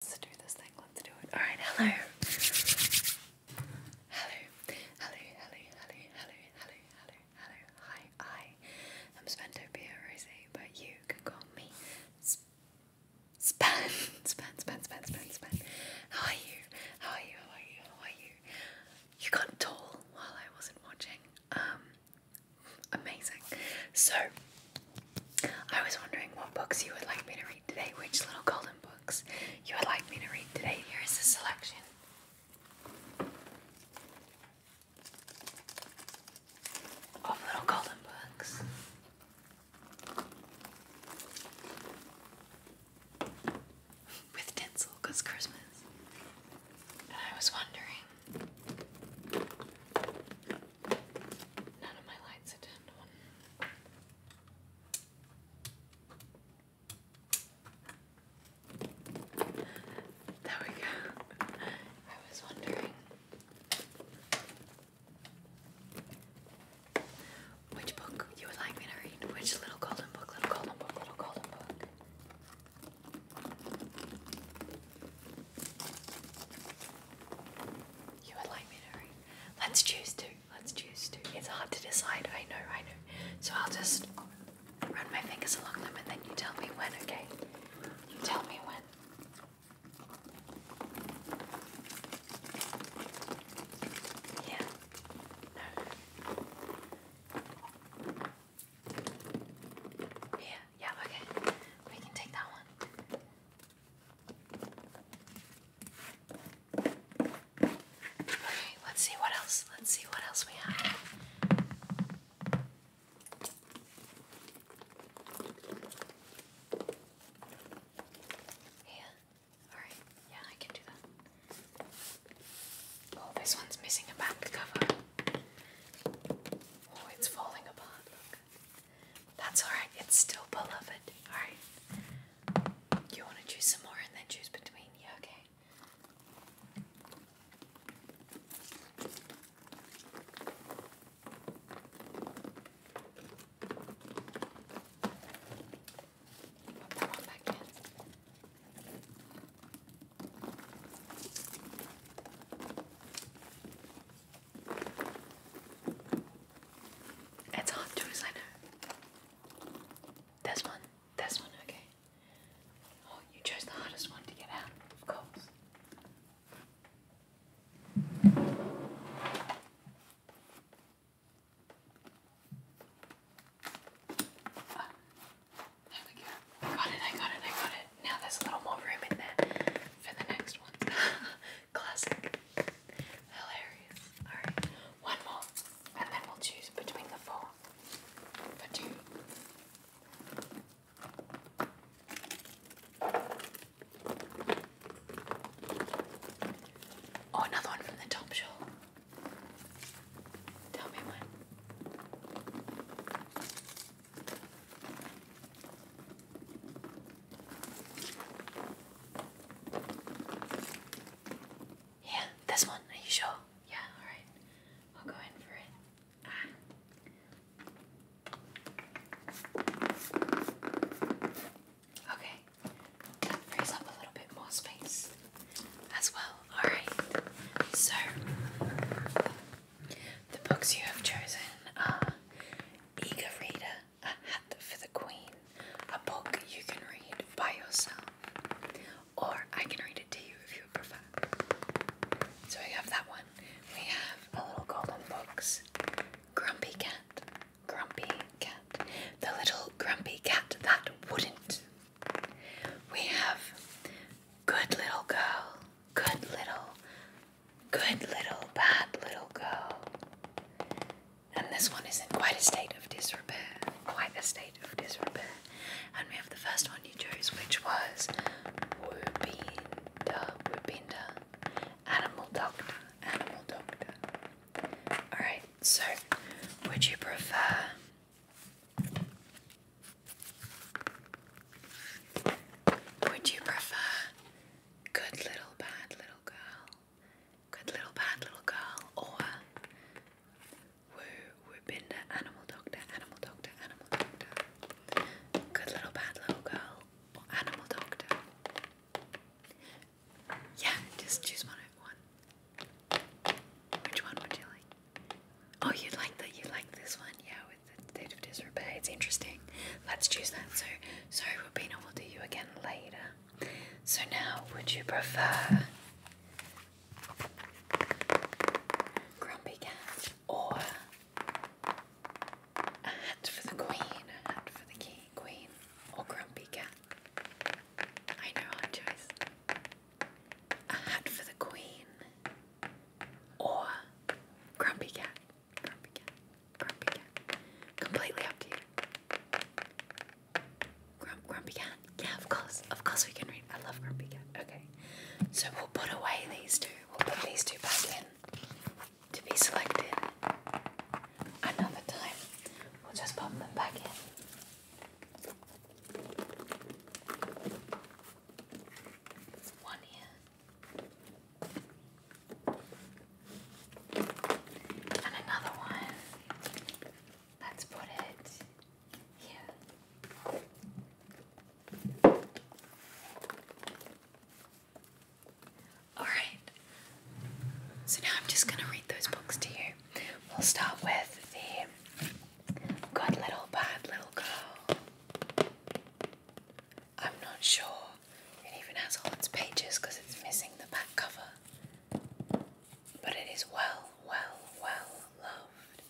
Let's do this thing. Let's do it. All right. Hello. Hello. Hello. Hello. Hello. Hello. Hello. Hello. Hi. I am Spantopia Rosie, but you can call me Sp Span. Span. Span. Span. Span. How are you? How are you? How are you? How are you? You got tall while I wasn't watching. Um. Amazing. So I was wondering what books you would like me to read today, which little golden books you would like me to read today. Here is a selection. Of little golden books. With tinsel, Christmas. And I was wondering None of my lights are on. There we go. I was wondering which book you would like me to read. Which little golden book, little golden book, little golden book. You would like me to Let's choose two. Let's choose two. It's hard to decide. I know, I know. So I'll just run my fingers along them and then you tell me when, okay? You tell me when. Yeah. No. Yeah, yeah, okay. We can take that one. Okay, let's see what else. Let's see what else we have. Yeah. Alright, yeah, I can do that. Oh, this one's missing a back cover. Oh, it's falling apart. That's alright, it's still beloved. Alright. You want to choose some more and then choose between? Yeah, okay. Put that one back in. It's hot juice, I know. This one, this one, okay. Oh, you chose the hardest one to get out, of course. Ah, there we go. I got it, I got it, I got it now there's a little more room in there for the next one. Classic. Hilarious. Alright, one more, and then we'll choose between the four for two. Oh, another one from the top shelf. Tell me when. Yeah, this one. Are you sure? Yeah, alright. I'll go in for it. Ah. Okay, that frees up a little bit more space as well. Alright, so the books you have chosen are Eager Reader, A Hat for the Queen, a book you can read by yourself, or I can read it to you if you prefer. So we have that one. We have a little golden box, Grumpy Cat, Grumpy Cat, the little grumpy cat that wouldn't. We have Good Little Girl, Good little, good little, bad little girl. And this one is in quite a state of disrepair. Quite a state of disrepair. And we have the first one you chose, which was Wubinda, Wubinda, Animal Doctor, Animal Doctor. Alright, so would you prefer would you prefer good little bad little girl, good little bad little girl, or woo woo binder animal doctor, animal doctor, animal doctor, good little bad little girl, or animal doctor? Yeah, just choose one of one. Which one would you like? Oh, you like that? You like this one? Yeah, with the state of disrepair. It's interesting. Let's choose that. So, sorry, Rubina, we'll do you again later. So now, would you prefer Grumpy Cat or a hat for the Queen? A hat for the king, Queen or Grumpy Cat? I know our choice a hat for the queen, or grumpy cat, grumpy cat, grumpy cat. Completely up to you. Grump, grumpy cat. Yeah, of course, of course we can read. I love grumpy cat. Okay, so we'll put away these two. We'll put these two back in to be selected another time. We'll just pop them back in one here, and another one. Let's put it here. Alright, so now I'm just going to read those books to you. We'll start with the Good little bad little girl. I'm not sure it even has all its pages because it's missing the back cover. But it is well, well, well loved.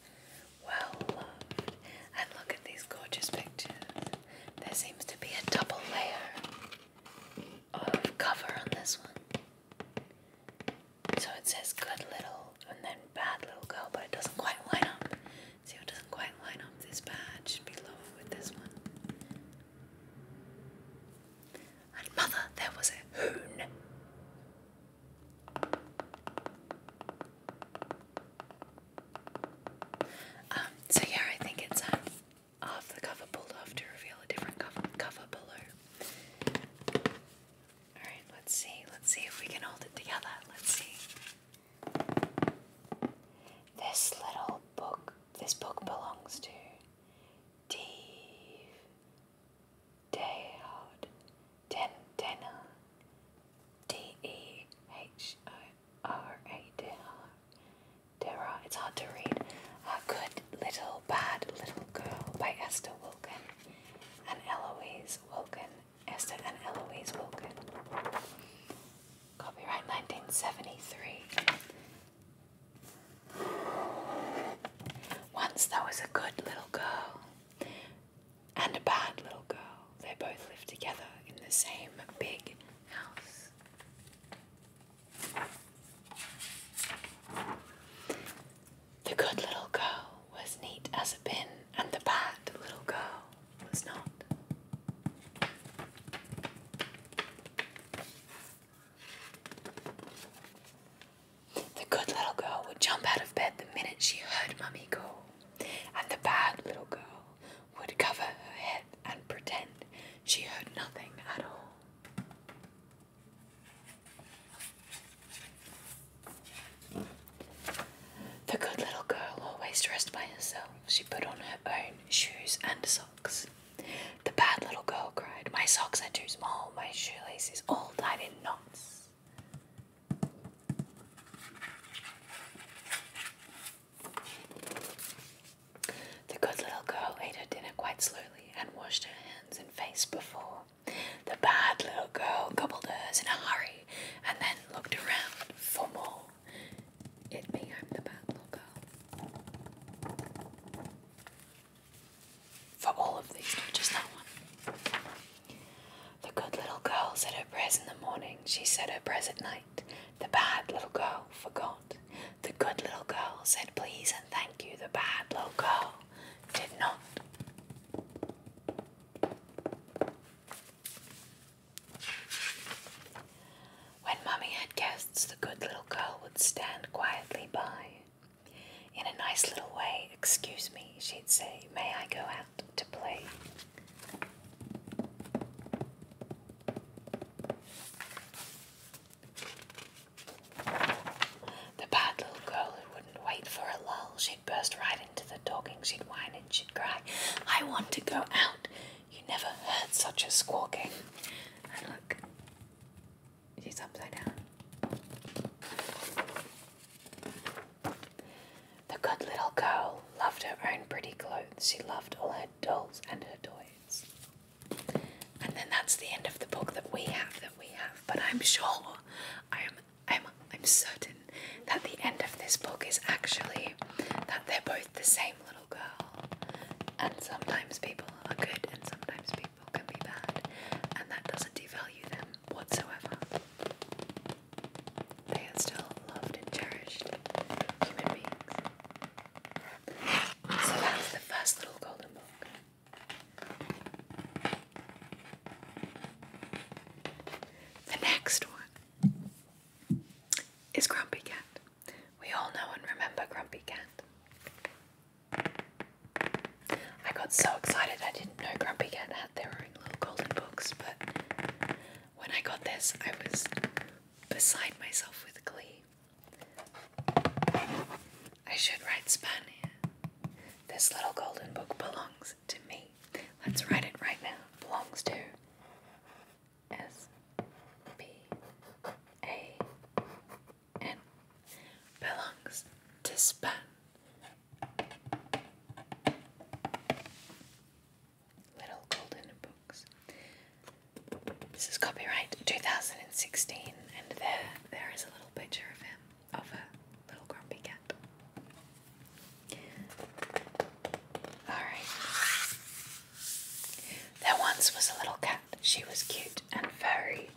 Well loved. And look at these gorgeous pictures. There seems to be a double layer of cover on this one. So it says good little and then bad little girl, but it doesn't quite line up. See, it doesn't quite line up. This bad should be lower with this one. And mother, there was a hoon. Um, so yeah, I think it's um, half the cover pulled off to reveal a different cover, cover below. All right, let's see. Let's see if we can hold it together. Let's see. This little book, this book belongs to Dave, Dehard, Den, Denner, D-E-H-O-R-A, It's hard to read. A Good Little Bad Little Girl by Esther Wilkin and Eloise Wilkin, Esther and Eloise Wilkin. Copyright 1973. Once there was a good little girl and a bad little girl. They both lived together in the same big house. The good little girl was neat as a pin, and the bad little girl was not. The good little girl would jump out of bed the minute she heard Mummy call, and the bad little girl would cover her head and pretend she heard nothing at all. The good little girl always dressed by herself. She put on her own shoes and socks. The bad little girl cried, My socks are too small, my shoelaces all tied in knots. The good little girl ate her dinner quite slowly and washed her hands and face before the bad little girl gobbled hers in a hurry and then looked around for more. It me, the bad little girl. For all of these, not just that one. The good little girl said her prayers in the morning, she said her prayers at night. The bad little girl forgot. The good little girl said please and thank you. The bad little girl did not. When Mummy had guests, the good little girl would stand quietly by. In a nice little way, excuse me, she'd say, may I go out to play? The bad little girl who wouldn't wait for a lull, she'd burst right into the talking, she'd whine and she'd cry, I want to go out. You never heard such a squawking. And look, she's upside down. The good little girl loved her own pretty clothes, she loved all her dolls and her toys. And then that's the end of the book that we have that we have. But I'm sure I am I'm I'm certain that the end of this book is actually that they're both the same little girl. And sometimes people are good and sometimes people can be bad. And that doesn't devalue them whatsoever. They are still loved and cherished human beings. So that's the first little golden book. The next one is Grumpy Cat. We all know and remember Grumpy Cat. I got so excited I didn't know Grumpy Cat had their own little golden books, but when I got this, I was beside myself with glee. I should write Spania. This little golden book belongs to me. Let's write it right now. Belongs to S P A N. Belongs to Span. Little golden books. This is copyright 2016, and there, there is a little picture of him, of a little grumpy cat. Alright. There once was a little cat. She was cute and furry,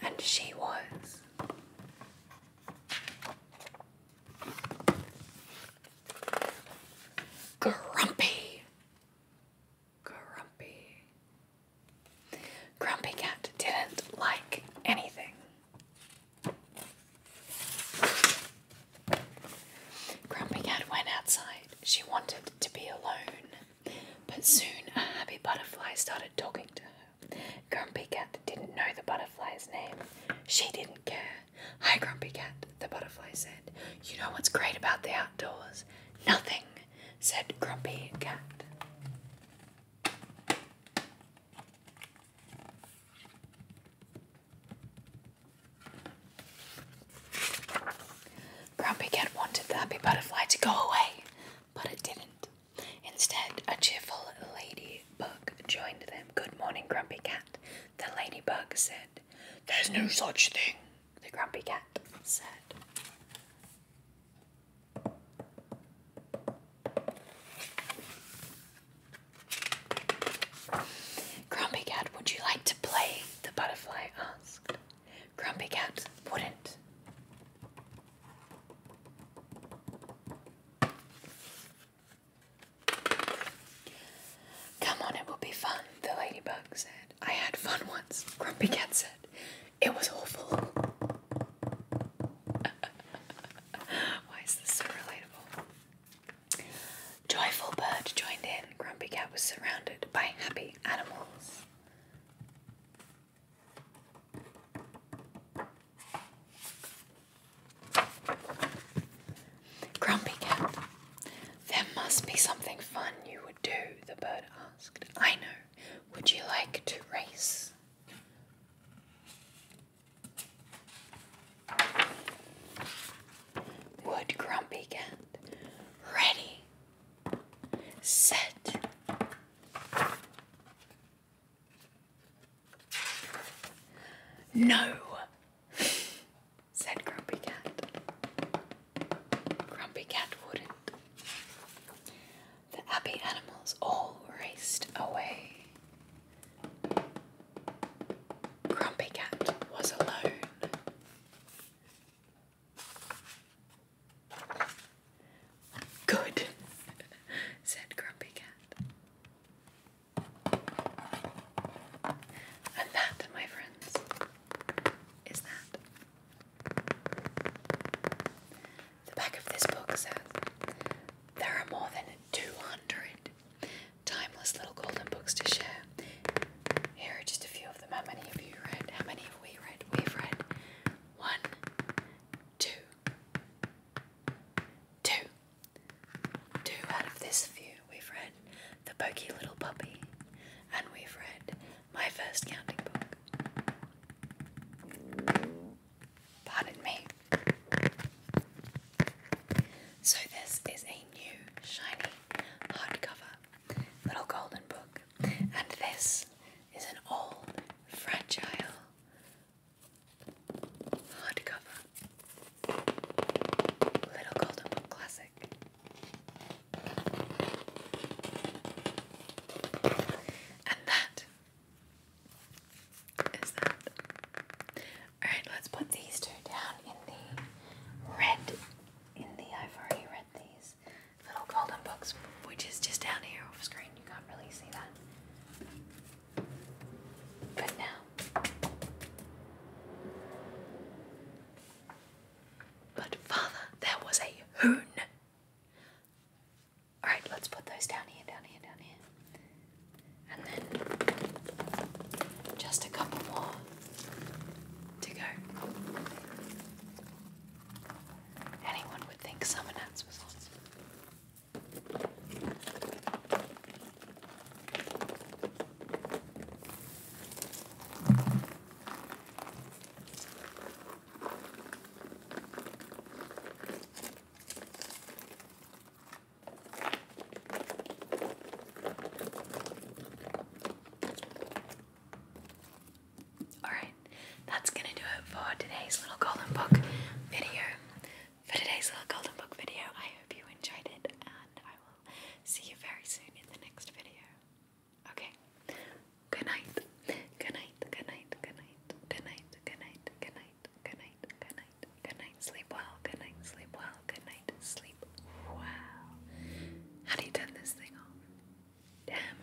and she was. Grumpy. Grumpy. Grumpy Cat didn't like anything. Grumpy Cat went outside. She wanted to be alone, but soon a happy butterfly started talking to her. Grumpy Cat didn't know the butterfly's name. She didn't care. Hi, Grumpy Cat, the butterfly said. You know what's great about the outdoors? Nothing said Grumpy Cat. Grumpy Cat wanted the happy butterfly to go away, but it didn't. Instead, a cheerful ladybug joined them. Good morning, Grumpy Cat. The ladybug said, There's no such thing the grumpy cat said. Grumpy Cat, would you like to play? The butterfly asked. Grumpy Cat wouldn't. Come on, it will be fun, the ladybug said. I had fun once, Grumpy Cat said. It was awful. Why is this so relatable? Joyful Bird joined in. Grumpy Cat was surrounded by happy animals. Grumpy Cat there must be something fun you would do, the bird asked. I know. Would you like to race? Would Grumpy get ready, set, no, said Grumpy Cat. Grumpy Cat wouldn't. The happy animals all raced away. Grumpy Cat was alone. Good, said Grumpy Cat. And that, my friends, is that the back of this book says there are more than 200 timeless little golden books to share. Here are just a few of them. How many have you read? How many have we read? We've read one, two, two, two out of this few we've read The Pokey Little Puppy, and we've read My First Counting Book. Pardon me. So, this is a new shiny hardcover little golden book, and this is an old, fragile hardcover little golden classic. And that is that. Alright, let's put these two down in the red. In the I've already read these little golden books, which is just down here off screen. You can't really see that. But now but father, there was a hoon. Alright, let's put those down here, down here, down here. And then just a couple more to go. Anyone would think summer nats was awesome. Alright, that's gonna do it for today's little golden book video. For today's little golden book video, I hope you enjoyed it and I will see you very soon in the next video. Okay? Good night. Good night. Good night. Good night. Good night. Good night. Good night. Good night. Good night. Good night. Sleep well. Good night. Sleep well. Good night. Sleep well. How do you turn this thing off? Damn.